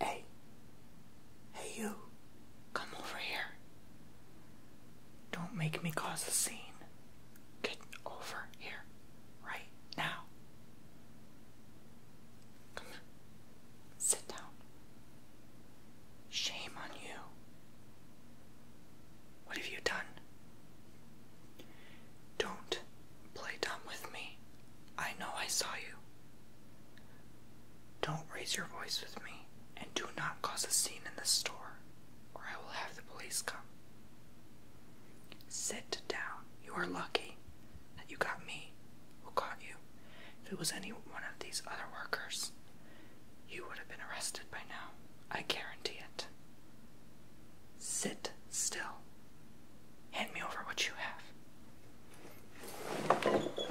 Hey. Hey, you. Come over here. Don't make me cause a scene. Get over here. Right now. Come on. Sit down. Shame on you. What have you done? Don't Play dumb with me. I know I saw you. Don't raise your voice with me, and do not cause a scene in the store, or I will have the police come. Sit down. You are lucky that you got me. Who caught you? If it was any one of these other workers, you would have been arrested by now. I guarantee it. Sit still. Hand me over what you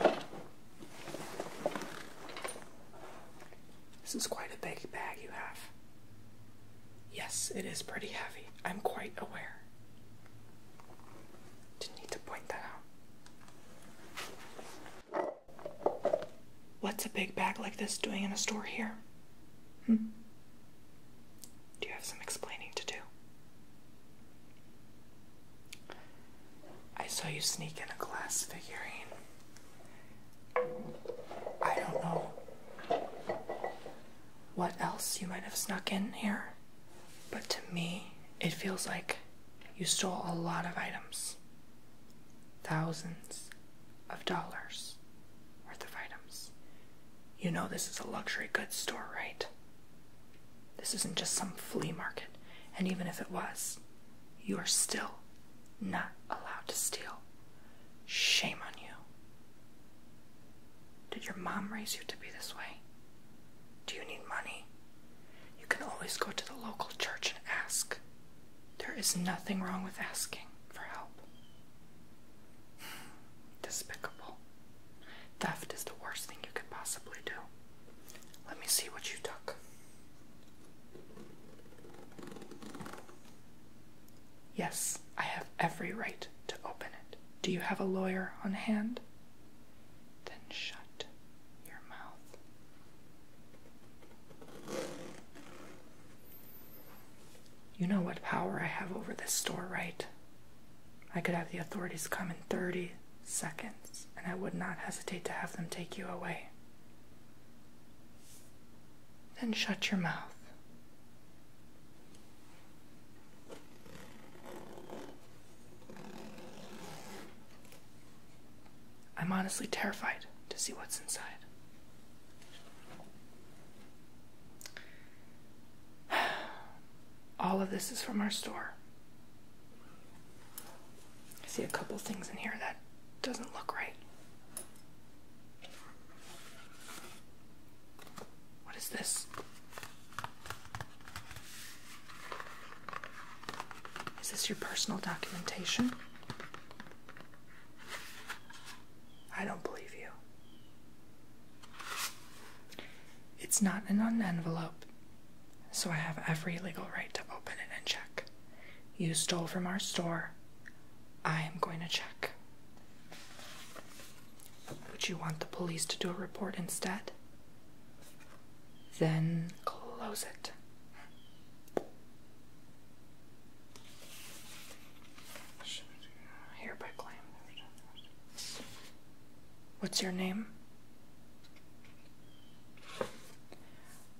have. This is quite a big bag you have. Yes, it is pretty heavy. I'm quite aware. Didn't need to point that out. What's a big bag like this doing in a store here? Hmm? Do you have some explaining to do? I saw you sneak in a glass figurine. I don't know what else you might have snuck in here, but to me, it feels like you stole a lot of items thousands of dollars worth of items. You know this is a luxury goods store, right? This isn't just some flea market, and even if it was, you are still not allowed to steal. Shame on you. Did your mom raise you to be this way? Do you need money? You can always go to the local church and ask. There is nothing wrong with asking for help. Despicable. Theft is the worst thing you could possibly do. Let me see what you took. Yes, I have every right to open it. Do you have a lawyer on hand? Then shut your mouth. You know what power I have over this store, right? I could have the authorities come in 30 seconds, and I would not hesitate to have them take you away. Then shut your mouth. I'm honestly terrified to see what's inside. All of this is from our store. I see a couple things in here that doesn't look right. What is this? Is this your personal documentation? I don't believe you. It's not an envelope, so I have every legal right to open it and check. You stole from our store. I am going to check. Would you want the police to do a report instead? Then close it. Hereby claim. What's your name?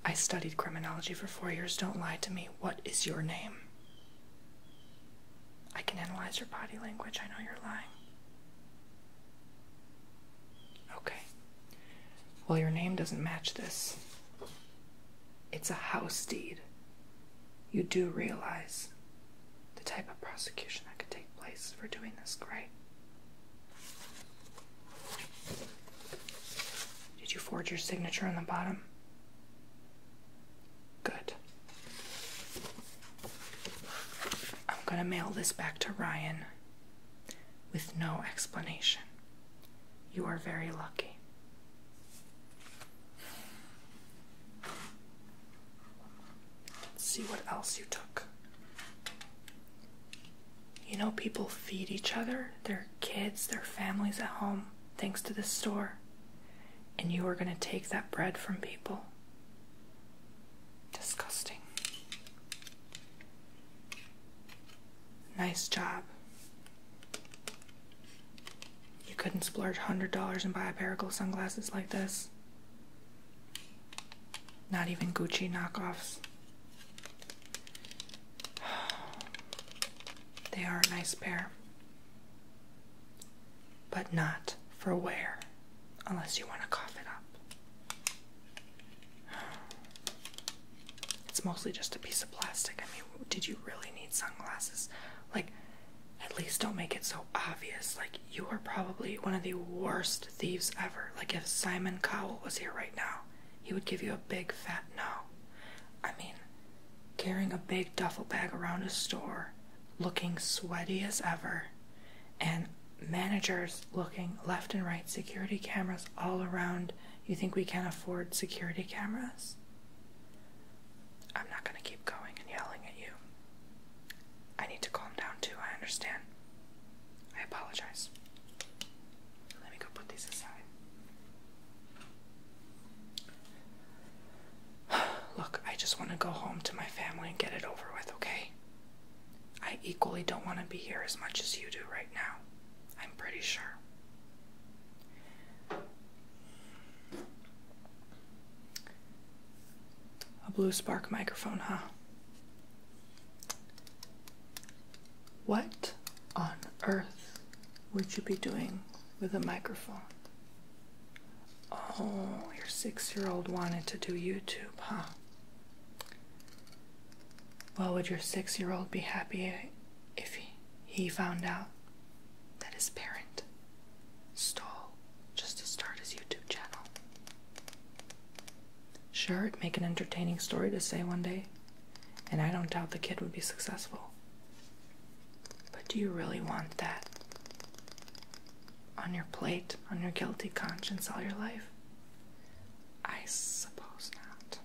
I studied criminology for four years. Don't lie to me. What is your name? I can analyze your body language. I know you're lying. Okay. Well, your name doesn't match this. It's a house deed. You do realize the type of prosecution that could take place for doing this, right? Did you forge your signature on the bottom? Good. I'm gonna mail this back to Ryan with no explanation. You are very lucky. Let's see what else you took. You know, people feed each other, their kids, their families at home, thanks to this store. And you are going to take that bread from people. Disgusting. Nice job. You couldn't splurge $100 and buy a pair of gold sunglasses like this. Not even Gucci knockoffs. They are a nice pair. But not for wear, unless you want to cough it up. It's mostly just a piece of plastic. I mean, did you really need sunglasses? Like, at least don't make it so obvious. Like, you are probably one of the worst thieves ever. Like, if Simon Cowell was here right now, he would give you a big fat no. I mean, carrying a big duffel bag around a store, looking sweaty as ever, and managers looking left and right, security cameras all around. You think we can afford security cameras? I'm not going to keep going and yelling at you. I need to calm down too, I understand. I apologize. Let me go put these aside. Look, I just want to go home to my family and get it over with, okay? I equally don't want to be here as much as you do right now. I'm pretty sure. A blue spark microphone, huh? What on earth would you be doing with a microphone? Oh, your six year old wanted to do YouTube, huh? Well, would your six year old be happy if he, found out that his parent stall just to start his YouTube channel. Sure, it'd make an entertaining story to say one day, and I don't doubt the kid would be successful. But do you really want that? On your plate, on your guilty conscience all your life? I suppose not.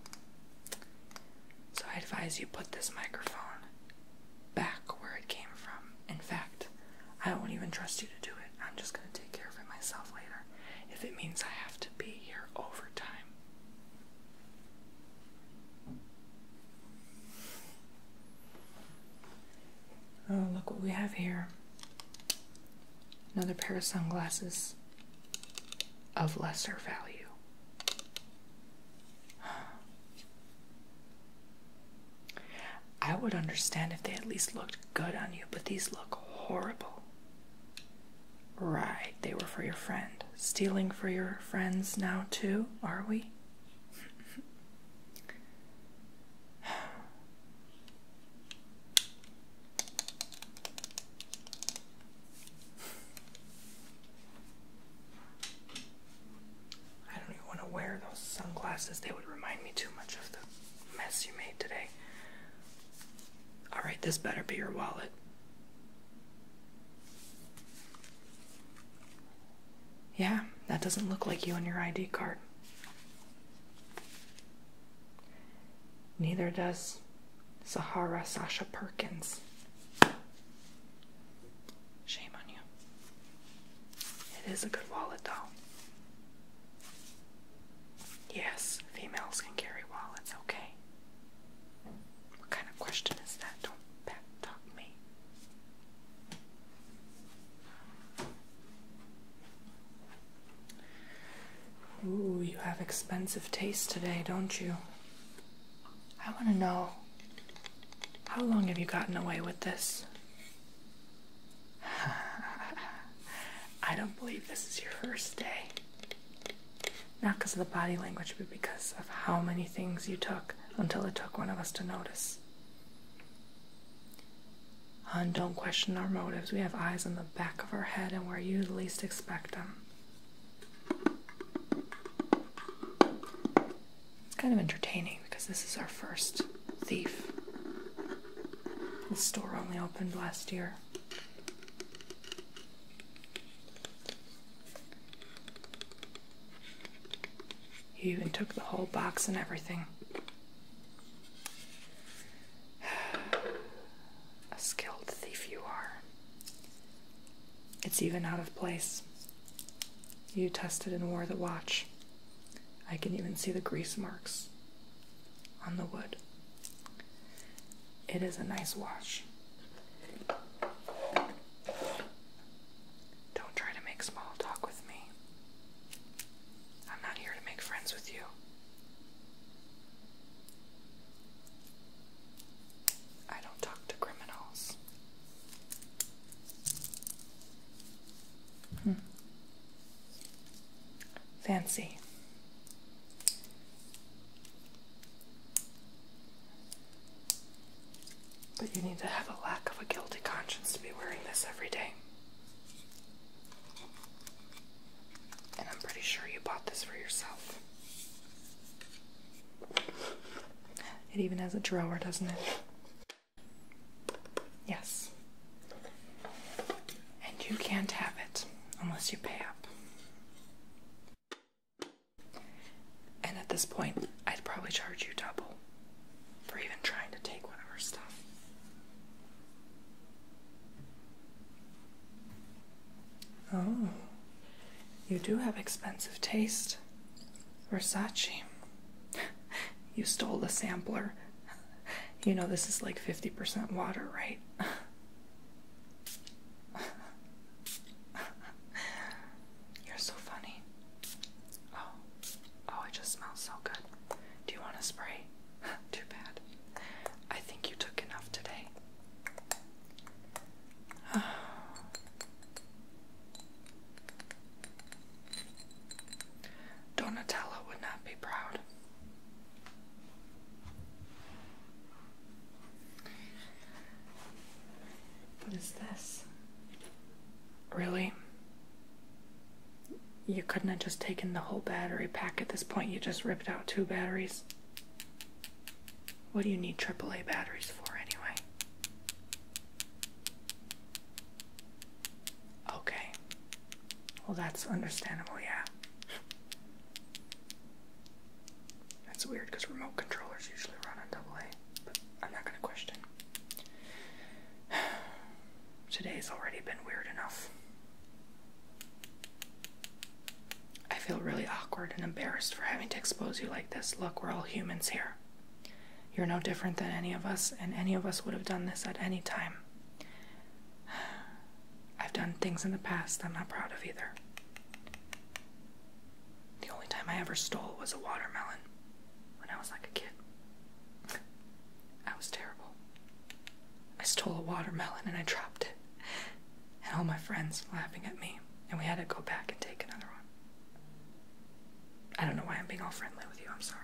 So I advise you put this microphone back where it came from. In fact, I won't even trust you to do it. I'm just going to take care of it myself later if it means I have to be here overtime. Oh, look what we have here. Another pair of sunglasses of lesser value. I would understand if they at least looked good on you, but these look horrible. Right, they were for your friend. Stealing for your friends now, too, are we? I don't even want to wear those sunglasses. They would remind me too much of the mess you made today. Alright, this better be your wallet. Yeah, that doesn't look like you and your ID card. Neither does Sahara Sasha Perkins. Shame on you. It is a good wallet, though. Yes, females can carry wallets, okay. What kind of question is that? Don't back me. Ooh, you have expensive taste today, don't you? I want to know how long have you gotten away with this? I don't believe this is your first day. Not because of the body language, but because of how many things you took until it took one of us to notice. And don't question our motives. We have eyes in the back of our head and where you least expect them. It's kind of entertaining because this is our first thief. The store only opened last year. You even took the whole box and everything. A skilled thief you are. It's even out of place. You tested and wore the watch. I can even see the grease marks on the wood. It is a nice wash. Don't try to make small talk with me. I'm not here to make friends with you. I don't talk to criminals. Hmm. Fancy. But you need to have a lack of a guilty conscience to be wearing this every day. And I'm pretty sure you bought this for yourself. It even has a drawer, doesn't it? Yes. And you can't have it unless you pay up. And at this point, I'd probably charge you double for even trying to take one of our stuff. Oh, you do have expensive taste. Versace. you stole the sampler. You know, this is like 50% water, right? You're so funny. Oh, oh, it just smells so good. Do you want to spray? Too bad. I think you took enough today. Oh. Donatello would not be proud. What is this? Really? You couldn't have just taken the whole battery pack at this point. You just ripped out two batteries. What do you need AAA batteries for, anyway? Okay. Well, that's understandable, yeah. That's weird because remote controllers usually run on double A, but I'm not gonna question. Today's already been weird enough. I feel really awkward and embarrassed for having to expose you like this. Look, we're all humans here. You're no different than any of us, and any of us would have done this at any time. I've done things in the past I'm not proud of either. The only time I ever stole was a watermelon when I was like a kid. I was terrible. I stole a watermelon and I dropped it. And all my friends laughing at me, and we had to go back and take another one. I don't know why I'm being all friendly with you. I'm sorry.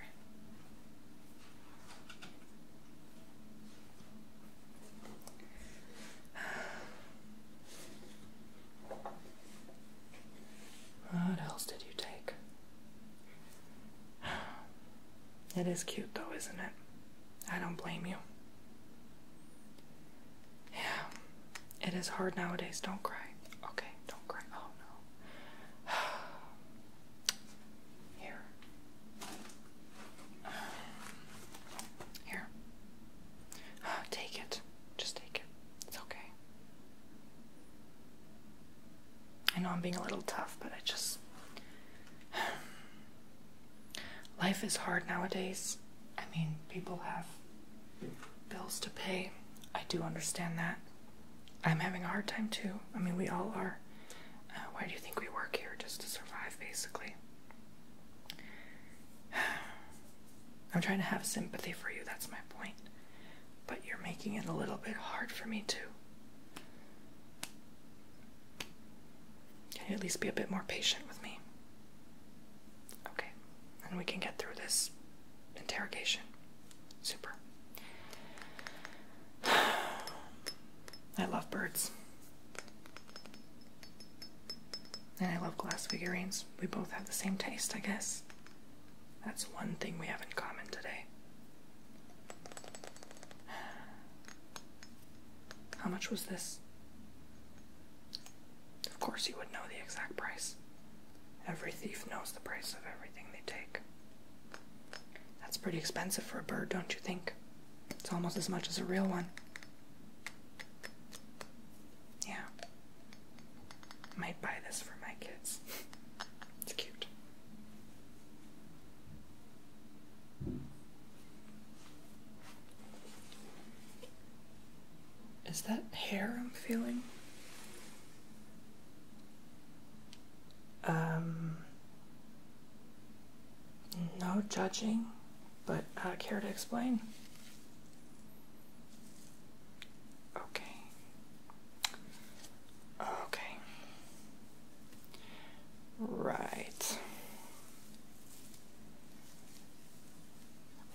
What else did you take? It is cute though, isn't it? I don't blame you. Yeah, it is hard nowadays. Don't cry. Okay, don't cry. Oh no. Here. Here. Take it. Just take it. It's okay. I know I'm being a little tough, but I just. Life is hard nowadays. I mean, people have bills to pay. I do understand that. I'm having a hard time too. I mean, we all are. Uh, why do you think we work here? Just to survive, basically. I'm trying to have sympathy for you, that's my point. But you're making it a little bit hard for me too. Can you at least be a bit more patient with me? Okay, and we can get through this interrogation. Super. I love birds. And I love glass figurines. We both have the same taste, I guess. That's one thing we have in common today. How much was this? Of course, you would know the exact price. Every thief knows the price of everything they take. That's pretty expensive for a bird, don't you think? It's almost as much as a real one. Yeah. Might buy this for my kids. it's cute. Is that hair I'm feeling? Um, no judging, but I care to explain? Okay. Okay. Right.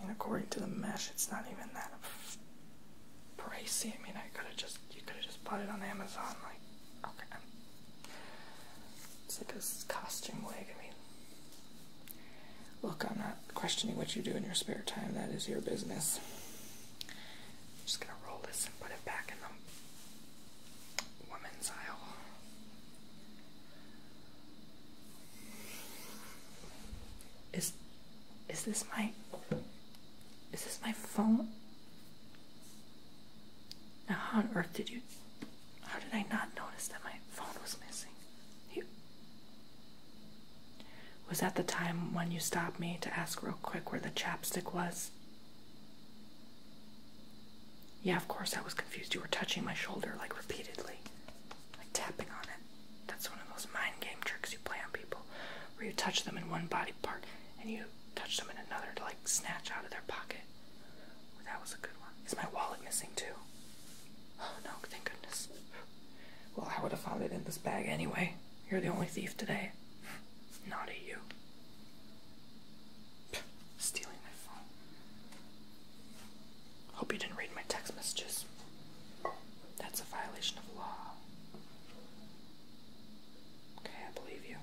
I according to the mesh, it's not even that pricey. I mean, I could have just you could have just bought it on Amazon. Like, okay, it's like a costume wig. I mean, look, I'm not questioning what you do in your spare time. That is your business. I'm just gonna roll this and put it back in the women's aisle. Is is this my is this my phone? Now, how on earth did you. How did I not notice that my phone was missing? Here. Was that the time when you stopped me to ask real quick where the chapstick was? Yeah, of course, I was confused. You were touching my shoulder, like, repeatedly, like tapping on it. That's one of those mind game tricks you play on people, where you touch them in one body part and you touch them in another to like snatch out of their pocket. Well, that was a good one. Is my wallet missing too? Oh no, thank goodness. Well, I would have found it in this bag anyway. You're the only thief today. Not you. Stealing my phone. Hope you didn't read my text messages. That's a violation of law. Okay, I believe you.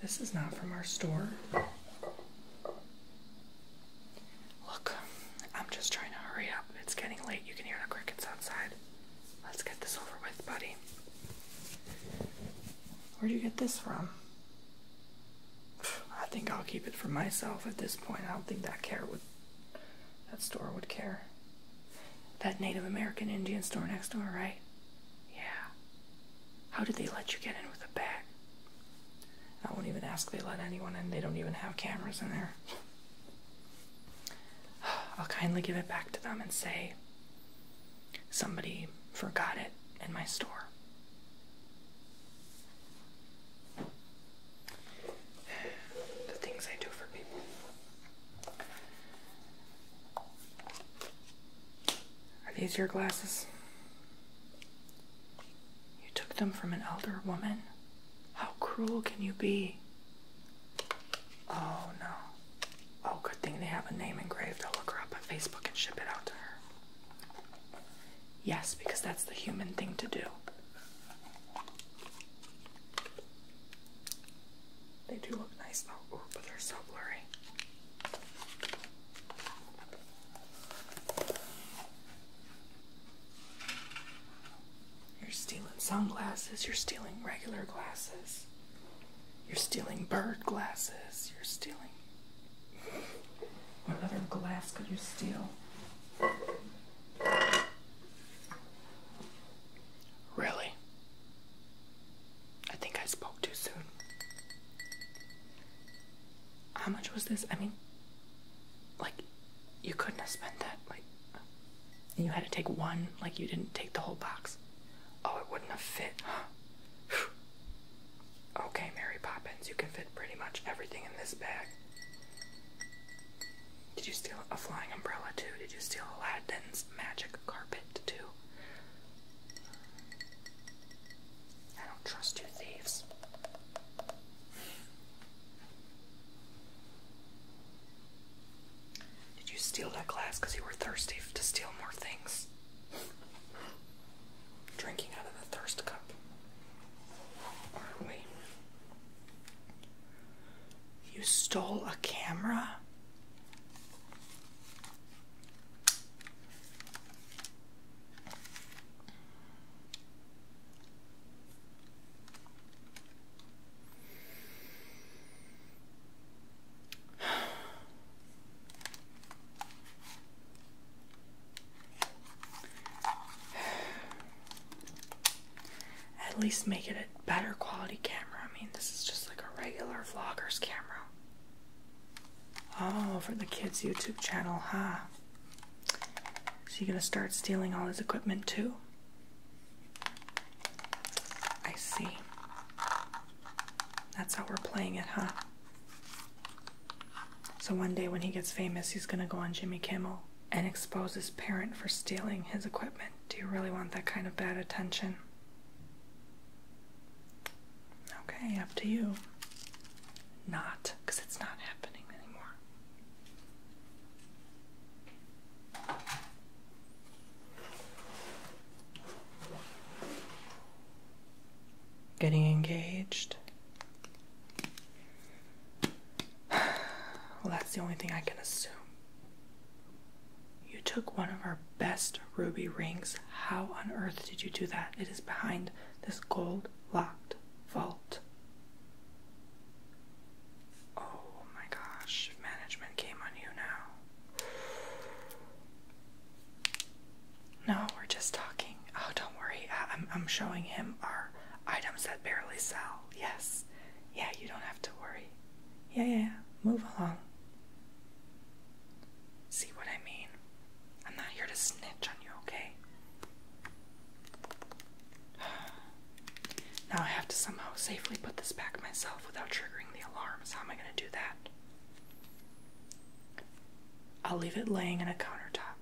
This is not from our store. Look, I'm just trying to hurry up. It's getting late. You can hear the crickets outside. Let's get this over with, buddy. Where'd you get this from? I think I'll keep it for myself at this point. I don't think that care would that store would care. That Native American Indian store next door, right? Yeah. How did they let you get in with a bag? I won't even ask they let anyone in. They don't even have cameras in there. I'll kindly give it back to them and say somebody forgot it in my store the things I do for people. Are these your glasses? You took them from an elder woman? How cruel can you be? Oh no. Oh, good thing they have a name engraved. I'll look her up on Facebook and ship it out to her. Yes, because that's the human thing to do. They do look nice though, but they're so blurry. You're stealing sunglasses, you're stealing regular glasses, you're stealing bird glasses, you're stealing what other glass could you steal? Really? I think I spoke too soon. How much was this? I mean, like, you couldn't have spent that. Like, you had to take one, like, you didn't take the whole box. Oh, it wouldn't have fit. okay, Mary Poppins, you can fit pretty much everything in this bag. Did you steal a flying umbrella too? Did you steal Aladdin's magic carpet too? I don't trust you thieves. Did you steal that glass because you were thirsty to steal more things? drinking out of the thirst cup, aren't we? You stole a camera? At least make it a better quality camera. I mean, this is just like a regular vlogger's camera. Oh, for the kids' YouTube channel, huh? So you're gonna start stealing all his equipment too? I see. That's how we're playing it, huh? So one day when he gets famous, he's going to go on Jimmy Kimmel and expose his parent for stealing his equipment. Do you really want that kind of bad attention? Okay, up to you. Not, because it's not happening anymore. Getting engaged. Well, that's the only thing I can assume. You took one of our best ruby rings. How on earth did you do that? It is behind this gold locked vault. Oh my gosh, management came on you now. No, we're just talking. Oh, don't worry. I, am I'm showing him our items that barely sell. Yes. Yeah, you don't have to worry. Yeah, yeah, yeah. Move along. See what I mean? I'm not here to snitch on you, okay? Now I have to somehow safely put this back myself without triggering the alarms. How am I going to do that? I'll leave it laying on a countertop.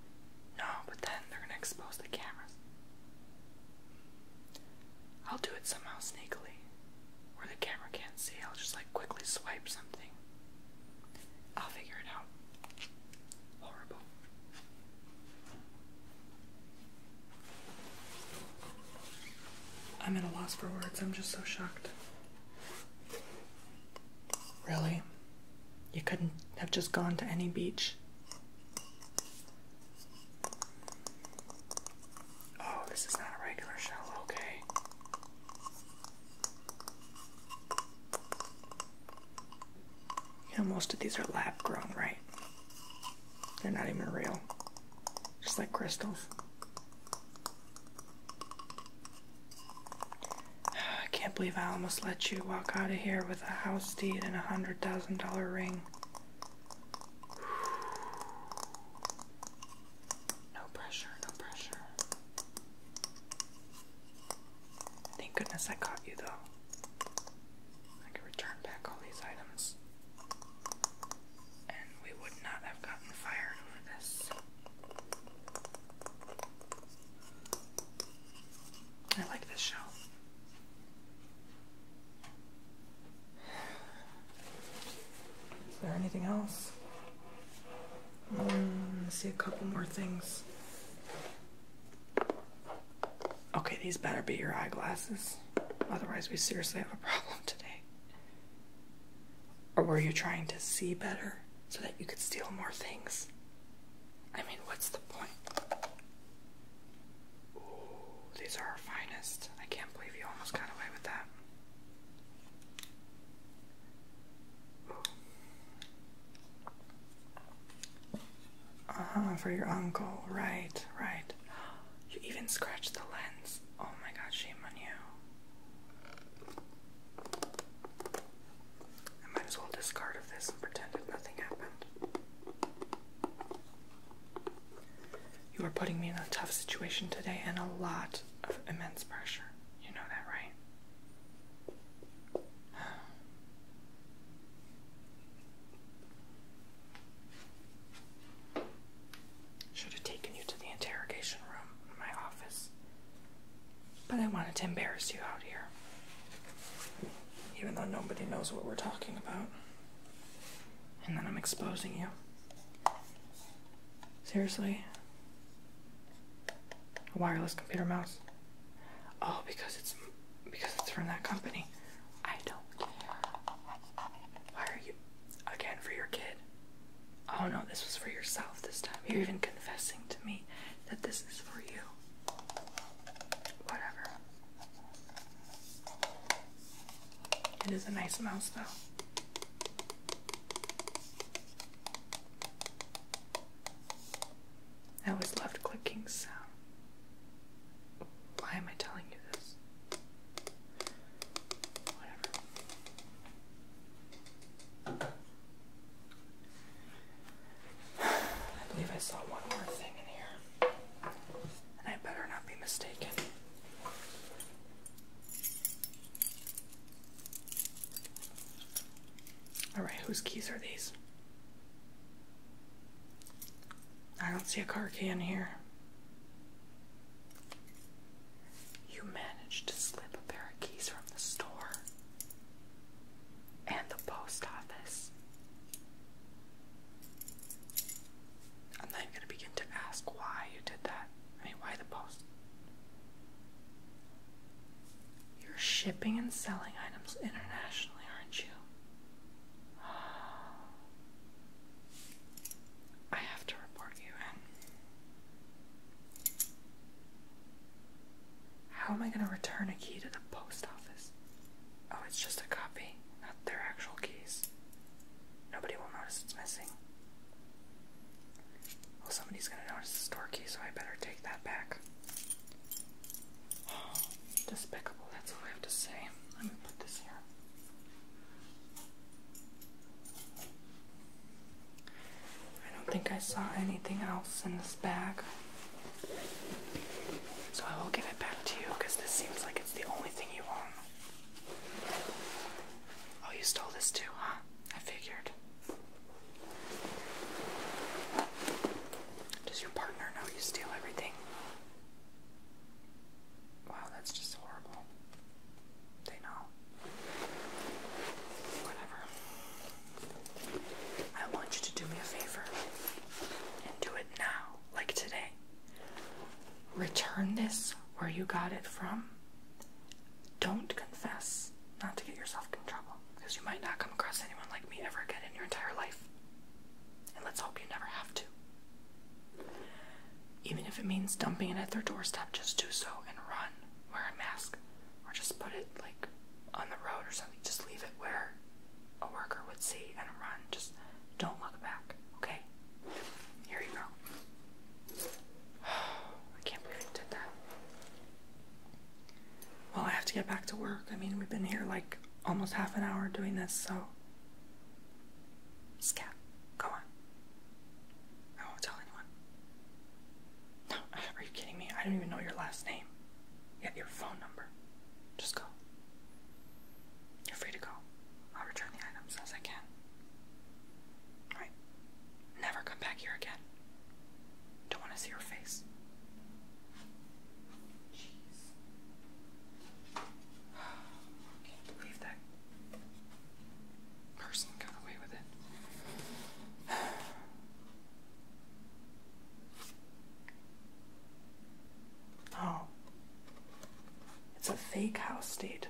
No, but then they're going to expose the cameras. I'll do it somehow sneakily, where the camera can't see. I'll just like quickly swipe something. I'll figure it out. Horrible. I'm at a loss for words. I'm just so shocked. Really? You couldn't have just gone to any beach. Oh, this is not a regular shell, okay. You most of these are lab grown, right? They're not even real, just like crystals. I can't believe I almost let you walk out of here with a house deed and a hundred thousand dollar ring. No pressure, no pressure. Thank goodness I caught you though. I could return back all these items. And we would not have gotten fired over this. I like this show. Is there anything else? Hmm, let's see a couple more things. Okay, these better be your eyeglasses. Otherwise, we seriously have a problem today. Or were you trying to see better so that you could steal more things? I mean, what's the point? these are our finest. I can't believe you almost got away with that. Uh huh, for your uncle. Right, right. You even scratched the lens. Oh my god, shame on you. I might as well discard of this and pretend that nothing happened. You are putting me in a tough situation today and a lot of immense pressure. You know that, right? Should have taken you to the interrogation room in my office. But I wanted to embarrass you out here. Even though nobody knows what we're talking about. And then I'm exposing you. Seriously? A wireless computer mouse? Oh, because it's because it's from that company. I don't care. Why are you again for your kid? Oh no, this was for yourself this time. You're even confessing to me that this is for you. Whatever. It is a nice mouse, though. I always loved clicking So, Why am I telling you this? Whatever. I believe I saw one more thing in here. And I better not be mistaken. Alright, whose keys are these? I don't see a car key in here. You managed to slip a pair of keys from the store and the post office. I'm not even going to begin to ask why you did that. I mean, why the post? You're shipping and selling items internationally, aren't you? I have to report you in. How am I going to return a key to the post office? Oh, it's just a copy, not their actual keys. Nobody will notice it's missing. Well, somebody's going to notice the store key, so I better take that back. despicable, that's all I have to say. Let me put this here. I don't think I saw anything else in this bag. So I will give it back to you because this seems like it's the only thing you own. Oh, you stole this too, huh? I figured. Does your partner know you steal everything? Wow, that's just horrible. They know. Whatever. I want you to do me a favor and do it now, like today. Return this where you got it from. Don't confess, not to get yourself in trouble, because you might not come across anyone like me ever again in your entire life. And let's hope you never have to. Even if it means dumping it at their doorstep, just do so and run. Wear a mask, or just put it like on the road or something. Just leave it where a worker would see and run. Just don't look back, okay? Here you go. I can't believe I did that. Well, I have to get back to work. I mean, we've been here like almost half an hour doing this, so. Scat, go on. I won't tell anyone. No, are you kidding me? I don't even know your last name. You your phone number. Just go. You're free to go. I'll return the items as I can. Alright. Never come back here again. Don't want to see your face. Jeez. can't believe that person got away with it. Oh, it's a fake house, deed.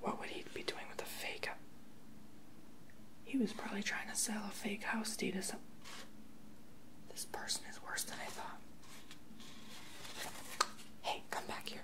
What would he be doing with a fake He was probably trying to sell a fake house, deed dude. Some... This person is worse than I thought. Hey, come back here.